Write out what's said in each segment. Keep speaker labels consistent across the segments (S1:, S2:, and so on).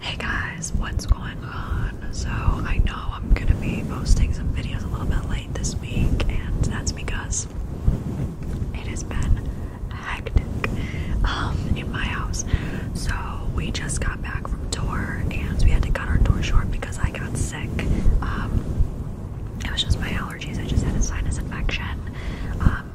S1: Hey guys, what's going on? So, I know I'm gonna be posting some videos a little bit late this week, and that's because it has been hectic um, in my house. So, we just got back from tour, and we had to cut our tour short because I got sick. Um, it was just my allergies, I just had a sinus infection. Um,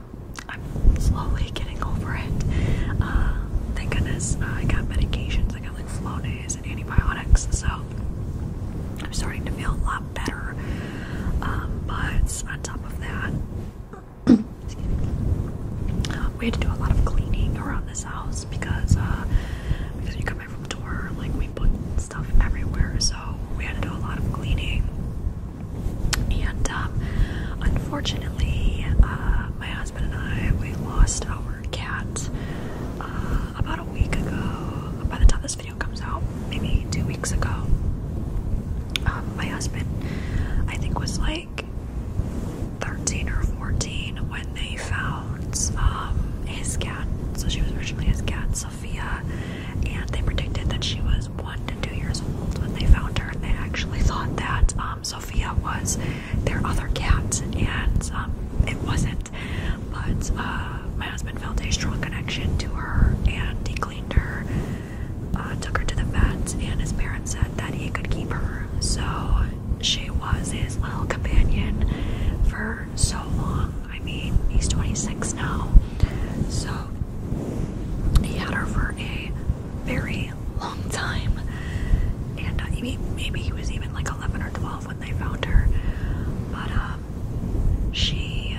S1: I'm slowly getting over it. Uh, thank goodness uh, I got medications. I got like Flonase and antibiotics, so I'm starting to feel a lot better. Um, but on top of that, we had to do a lot of cleaning around this house because uh, because we come back from tour, like we put stuff everywhere, so we had to do a lot of cleaning. And um, unfortunately, uh, my husband and I we lost our cat uh, about a week ago. By the time this video comes out, maybe two weeks ago. Um, my husband, I think, was like 13 or 14 when they found um, his cat. So she was originally his cat, Sophia, and they predicted that she was was one to two years old when they found her, and they actually thought that um, Sophia was their other cat, and um, it wasn't. But uh, my husband felt a strong connection to her, and he cleaned her, uh, took her to the vet, and his parents said that he could keep her. So she was his little companion for so long. I mean, he's 26 now, so he had her for a very long time, and uh, maybe, maybe he was even like 11 or 12 when they found her. But um, she,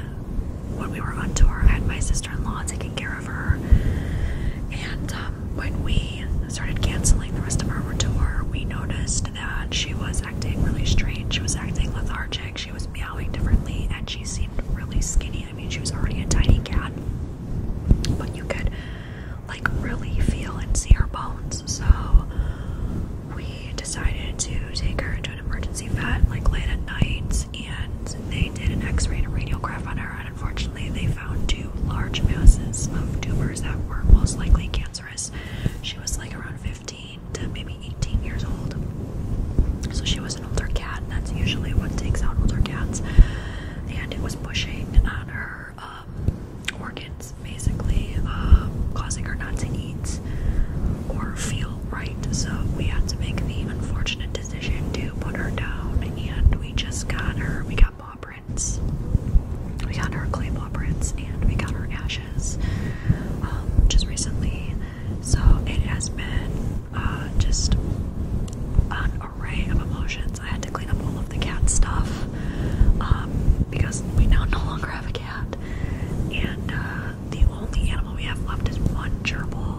S1: when we were on tour, I had my sister-in-law taking care of her, and um, when we started canceling the rest of our tour, we noticed that she was acting really strange. She was acting lethargic. She was meowing differently, and she seemed really skinny I mean, she was already a tiny cat, but you could like really feel and see her bones. So we decided to take her to an emergency vet like late at night, and they did an x ray and a radiograph on her. And unfortunately, they found two large masses of tumors that were most likely cancerous. She was like around 15 to maybe 18 years old. So she was an older cat, and that's usually what takes out older cats. And it was pushing on her um, organs, basically, um, causing her not to eat or feel right. So we had to make the unfortunate decision to put her down, and we just got her. We got paw prints. We got her clay paw prints, and we got her ashes um, just recently. So it has been uh, just an array of emotions. I had to clean up all of the cat stuff um, because we now no longer have a cat, and uh, the only animal we have left is one gerbil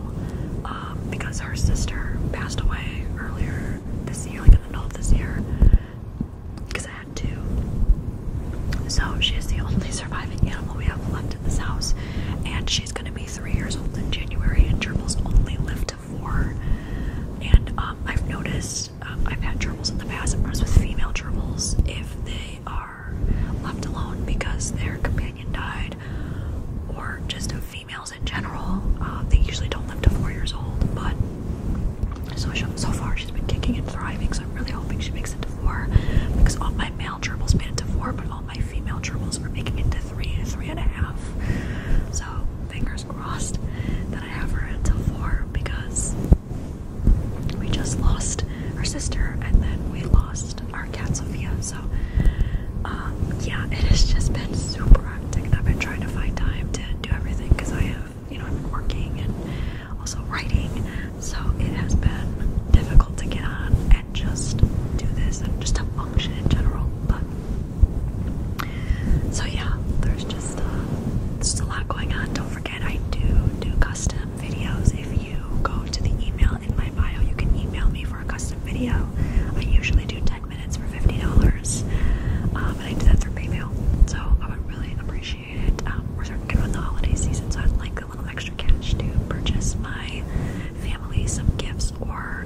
S1: um, because her sister passed away earlier this year, like in the middle of this year. Because I had two, so she is the only surviving animal we have left to this house, and she's gonna be three years old in January, and gerbils only live to four. And um, I've noticed um, I've had gerbils in the past. I've with female gerbils, if they are left alone because their companion died, or just females in general, uh, they usually don't live to four years old. But so far, she's been kicking and thriving. So I'm really hoping she makes it to four because all my my male gerbils made to four, but all my female gerbils were making it to three, three and a half. So fingers crossed that I have her until four because we just lost our sister and then we lost our cat Sophia. So um, yeah, it has just been super hectic. I've been trying to find time to do everything because I have, you know, I've been working and also writing, so it has been difficult to get on and just do this and just to function in general. But so yeah, there's just there's uh, just a lot going on. Don't forget, I do do custom videos. If you go to the email in my bio, you can email me for a custom video. I usually do 10 minutes for $50, uh, but I do that through PayPal. So I would really appreciate shoot. Um, we're the holiday season, so I'd like a little extra cash to purchase my family some gifts. Or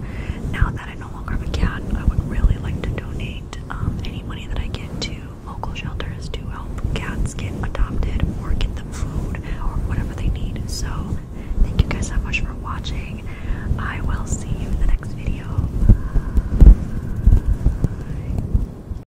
S1: now that I no longer have a cat, I would really like to donate um, any money that I get to local shelters to help cats get adopted or get them food or whatever they need. So, thank you guys so much for watching. I will see you in the next video. Bye.